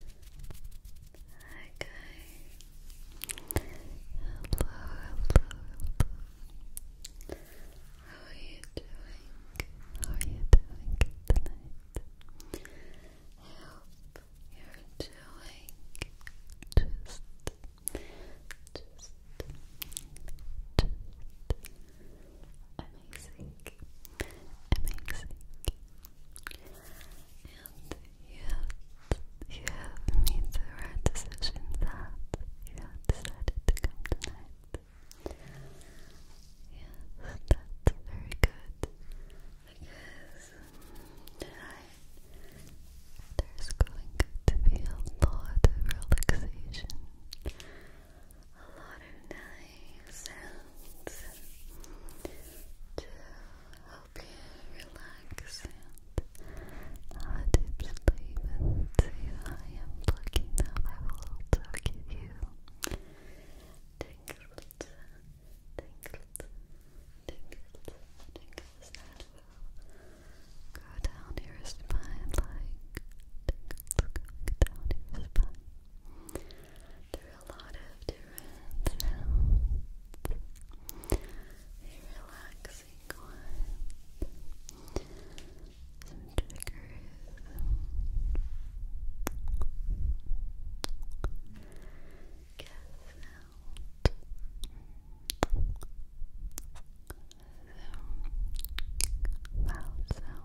Hi guys. Hello, hello, How are you doing? How are you doing tonight? I you're doing just, just, just amazing, amazing. And you have made the right decision that you have decided to come tonight. Yes, that's very good. Because um, there's going to be a lot of relaxation, a lot of nice sounds I hope you relax and have a deep sleep and I am lucky enough I will also give you tingles, tingles, tingles, tingles that will go down your spine like tingles down your spine through a lot of different relaxing one. Some triggers. Guess out. Some mouth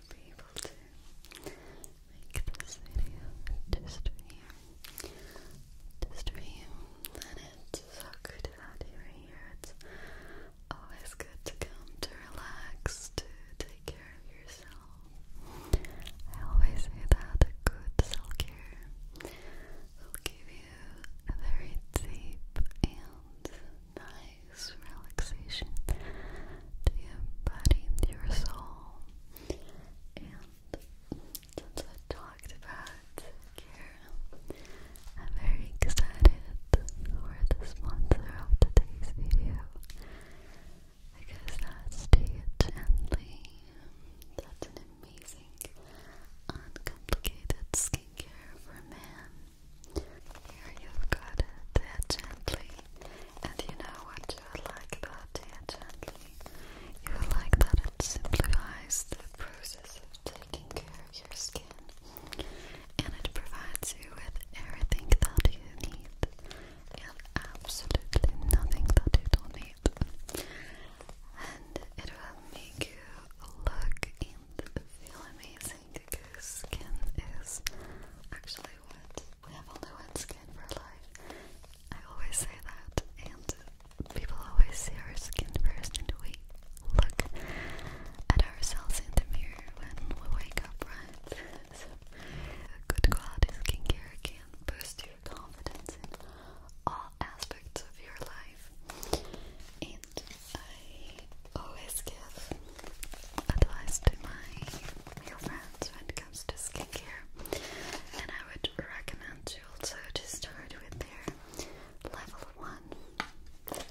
i be able to make this video just for you. Just for you. And it's so good to here. It's always good to come to relax, to take care of yourself. I always say that good self care will give you a very deep and nice relaxation to your body and your soul. And since I talked about care, I'm very excited for the sponsor of today's video because that's Stay That's an amazing, uncomplicated skincare for men here you've got it, there gently. And you know what you like about there gently? You like that it simplifies the process of taking care of your skin. And it provides you with everything that you need. And absolutely nothing that you don't need. And it will make you look and feel amazing zinc skin is actually what we have only one skin for life. I always say that, and people always see our skin first, and we look at ourselves in the mirror when we wake up, right? so, good quality skincare can boost your confidence in all aspects of your life. And I always give advice to my male friends when it comes to skincare, and I would recommend also to start with their level one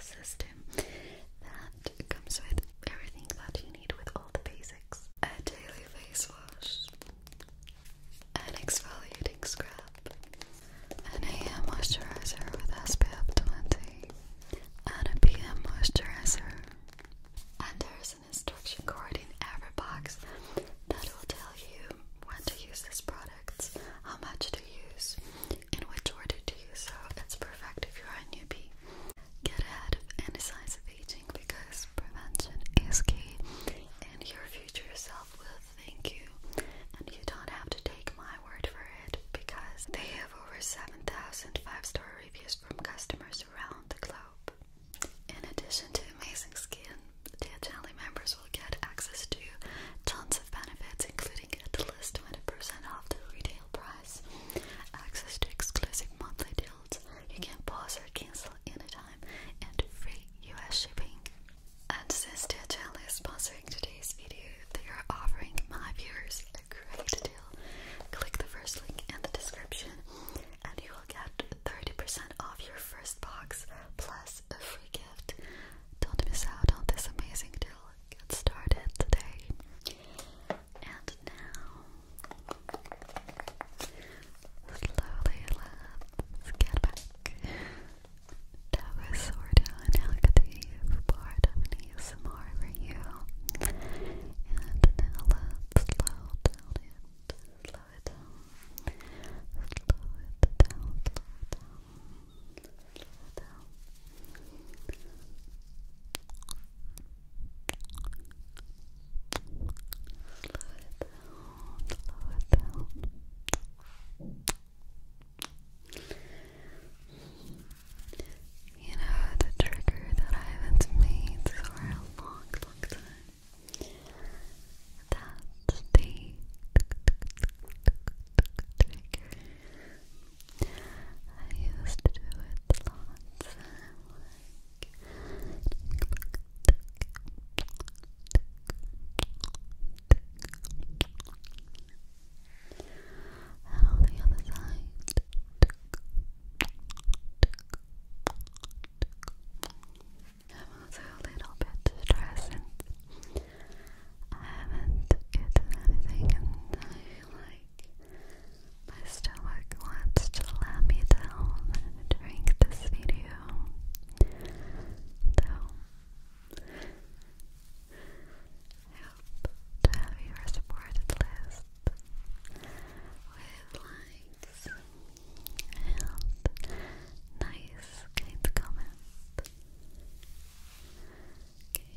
system that comes with everything that you need with all the basics: a daily face wash, an exfoliating scrub, an AM moisturizer with SPF 20 and a moisturizer. And there's an instruction card in every box that will tell you when to use these products, how much to use, in which order to use. So it's perfect if you're a newbie. Get ahead of any signs of aging because prevention is key, and your future self will thank you. And you don't have to take my word for it because they have over 7,000 five star reviews from customers around the globe. In addition to amazing skin, Diagenly members will get access to tons of benefits, including at least 20% off the retail price, access to exclusive monthly deals, you can pause or cancel anytime, and free US shipping. And since Diagenly is sponsored today's video, they are offering my viewers a great deal. Click the first link in the description and you will get 30% off your first box plus a free gift. Don't miss out on this amazing deal. Get started today. And now, slowly let's get back. That was sort of an active part of me. ASMR for you. And now let's slow Slow it down. Slow it down. Slow it down. Slow it down. Slow it down. You know, the trigger that I haven't made for a long, long time. That's the trigger. I used to do it lots. And on the other side. I'm also a little bit stressed and I haven't eaten anything and I feel like my stomach wants to let me down during this video. So help to have your supported list with likes and nice kind comments. Okay. Okay,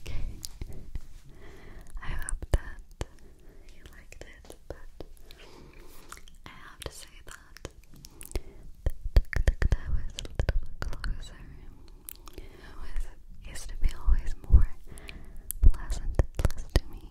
Okay, I hope that you liked it, but I have to say that that was closer. was, used to be always more pleasant to me.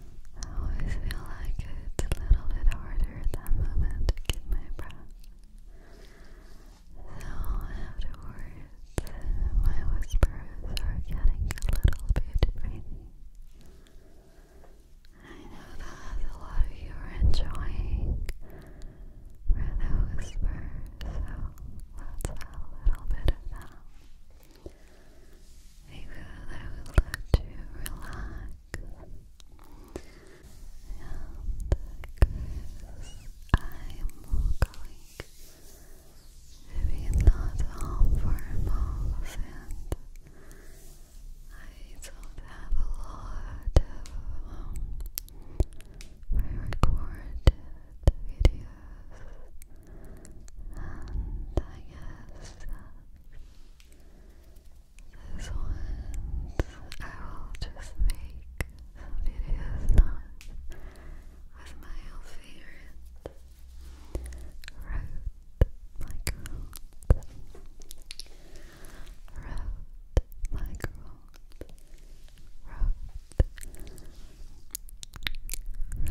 I always feel like it's a little bit harder at that moment to get my breath. So afterwards, my whispers are getting a little bit crazy. I know that a lot of you are enjoying where the so let's have a little bit of that. Because I to relax I'm going to be not home for a and I don't have a lot of um, pre-recorded videos and I guess this one, I will just make some videos on with my old favorite Rode microphones. Rode microphones. Rode. Rode. Rode.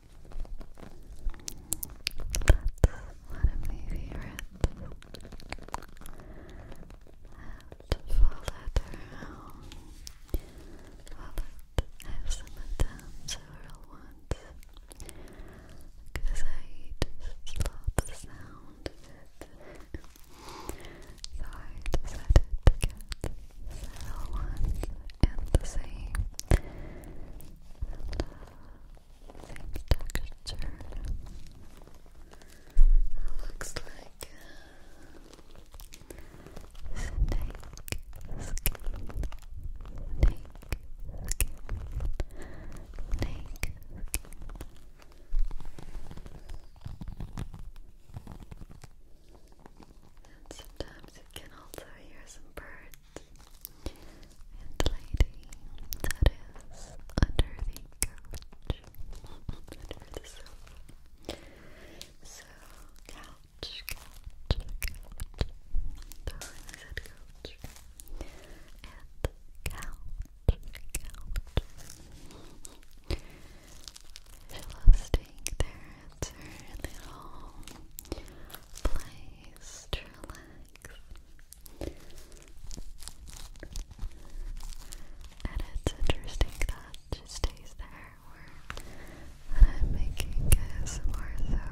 one of my favorites. And fold it around. Fold it. I have some it down several I just love the sound so I decided to get several ones and the same same looks like uh, snake skin, snake snake And sometimes you can also hear some birds and lady that is under the couch, under the sofa. So, couch, couch, couch. The room couch. And couch, couch. She loves staying there. It's her little place to relax. And it's interesting that it stays there or I'm making is more so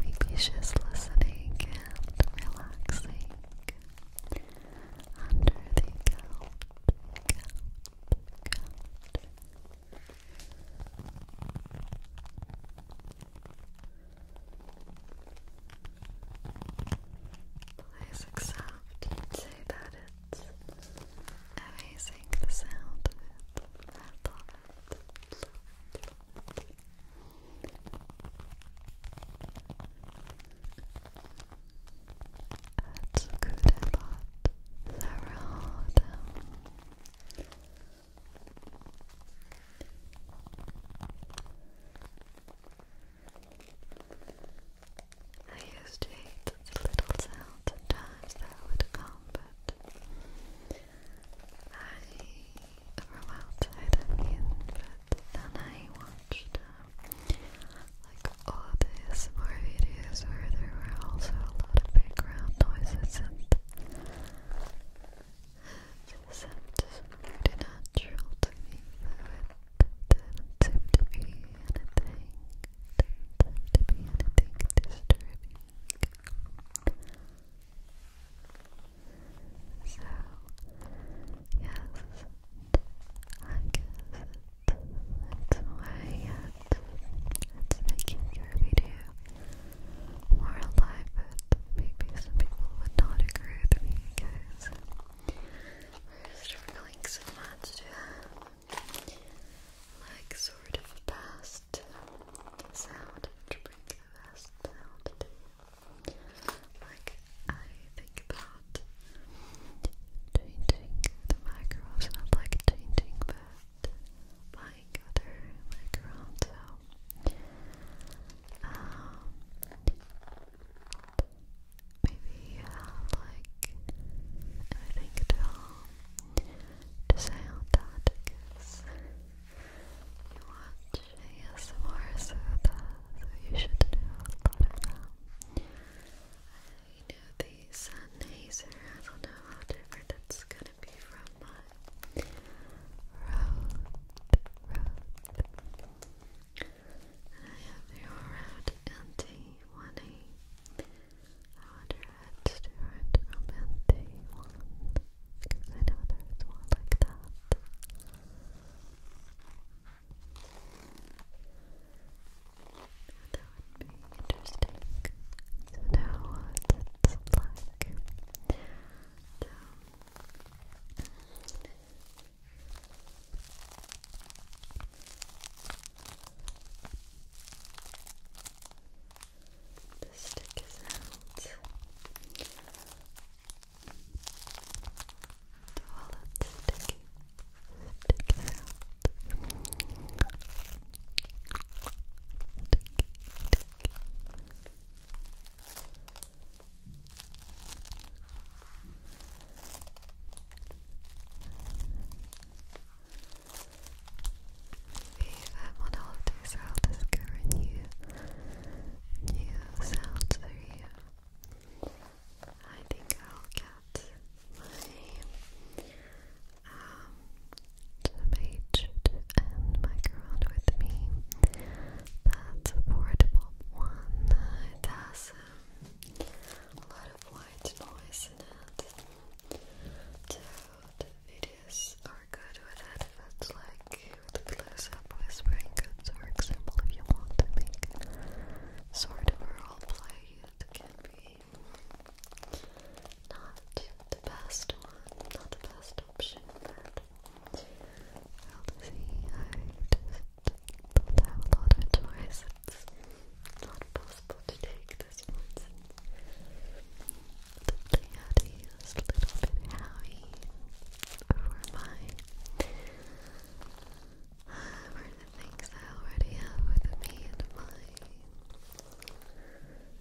maybe just listening and relaxing under the couch, Please accept say that it's amazing the sound of it. I love it. it, love it. That's good about the I used to hate the little sound sometimes that would come, but I from outside I mean, but then I watched um, like all these more videos where there were also a lot of background noises and this just pretty natural to me, though it did to be anything, didn't to be anything disturbing. So, yes, I guess it's, it's why, it's making your video more alive, but maybe some people would not agree with me because we're struggling so much like sort of past sound to bring the sound to you. Like I think about changing the microphones, not like changing but like other macarons, maybe uh, like anything at all to say that because you watch ASMR so, that, so you should know a lot I know the sun uh, hazer, I don't know how different it's gonna gonna be from my road, I have the round NT1A. I wonder if different from NT1, because I know there's one like that. That would be interesting to know what it's like. And, um, the stick is out. The wallet stick, stick is out. Stick, stick, if I'm on holidays, I'll discover new, new sounds for you. I think I'll get my um, to and mic with me. That's a portable one. It has a lot of white noise in it. videos are good with it. it's like with close-up whispering for example, if you want to make sort of a role play, it can be not the best one, not the best option, but we'll see. I don't have a lot of choice. It's not possible to take this one since they had to a little bit howie for my for the things I already have with me and my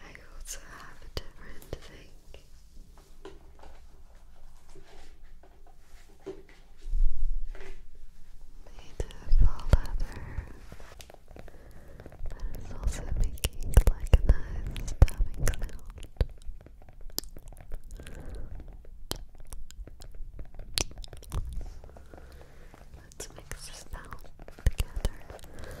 I also have a different thing made of all leather that is also making like a nice tapping sound. Let's mix this down together.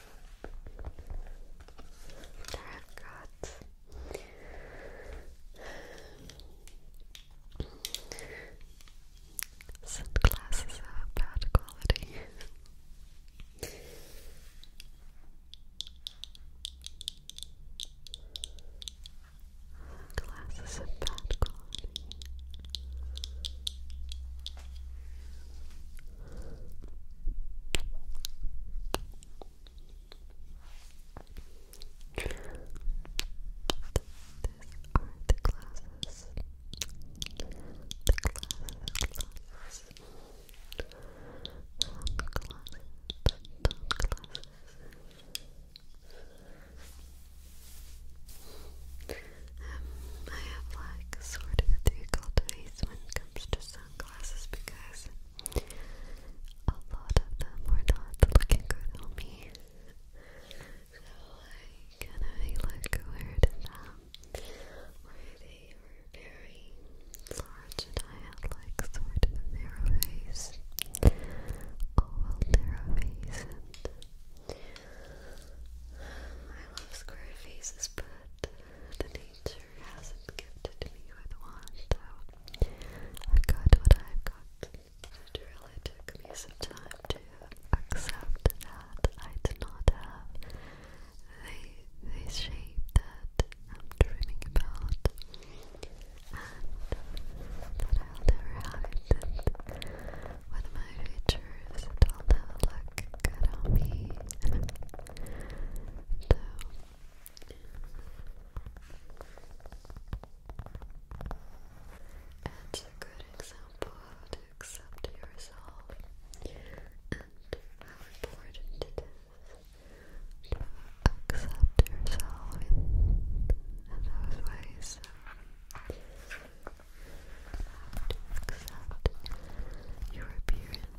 There I've got sunglasses of bad quality. Glasses of bad quality. These are the glasses. The glasses, glasses. glasses, some glasses. I have like sort of difficult face when it comes to sunglasses because a lot of them were not looking good on me. So I kind of like weird in them they were very large and I had like sort of narrow face. Oh narrow face I love square faces but nature hasn't gifted me with one, so i what I've got. It really took me some time to accept that I do not have the, the shape that I'm dreaming about and that I'll never have it. And with my features, it'll never good on me. So it's a good example to accept yourself and how important it is to accept yourself in, those ways. to accept your appearance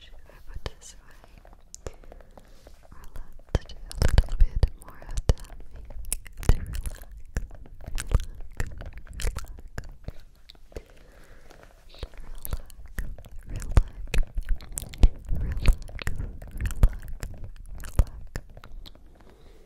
Should I put this away? Or let do a little bit more of tapping to relax, relax, relax, relax, relax, relax, relax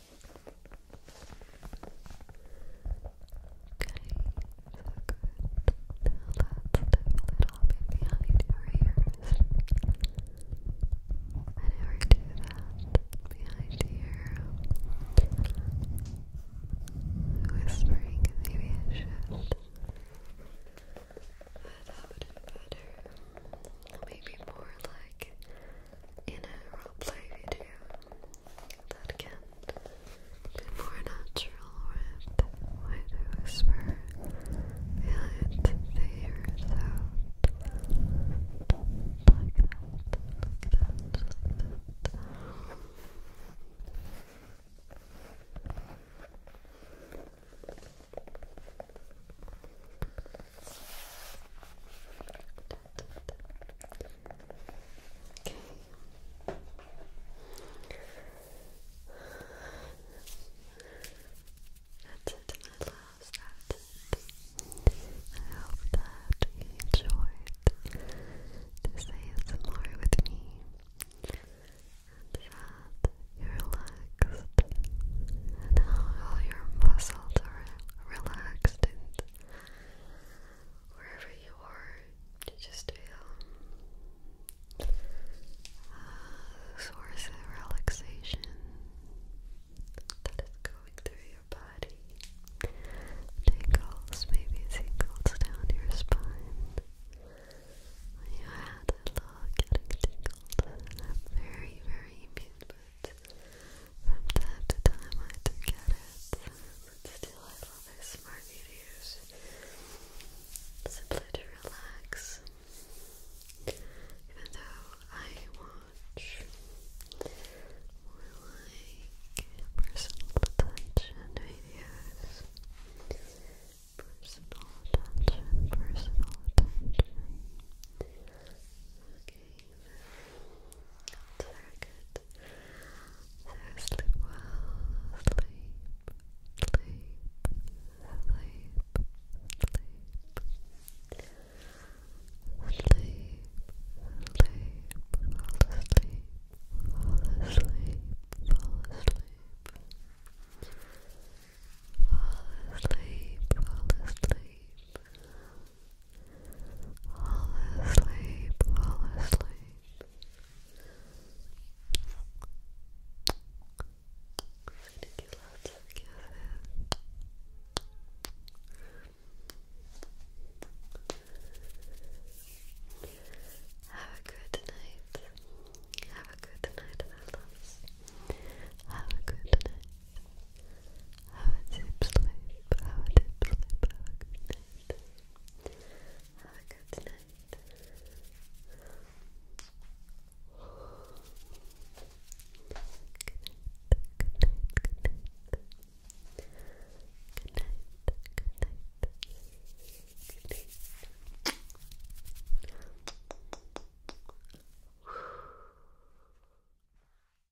behind your ears. I never do that behind your whispering. Maybe I should. That would be better. Maybe more like in a roleplay video that can be more natural with wider whisper behind the ears out like that, like that, like that Okay. That's it, my loves. I hope that you enjoyed this ASMR with me and that you're relaxed and all your muscles are relaxed wherever you are, just feel um, a source of relaxation that is going through your body. Tingles, maybe tingles down your spine. you had that look, getting tingled, I'm very, very immune from time to time I do it, but still I love these smart videos. Simply to relax. Even though I watch like personal attention videos. Personal attention, personal attention. That's very good. So sleep well, sleep, sleep, sleep, sleep. Sleep, sleep, fall asleep, fall asleep, fall asleep. Fall asleep, fall asleep, Fall asleep, fall asleep. I'm gonna give lots of kisses. Have a good night. Have a good night, my loves. Have a good have a deep sleep. Have a deep sleep. good night. Have a good night. Good night. Good night. Good night. Good night. Good night. Good night.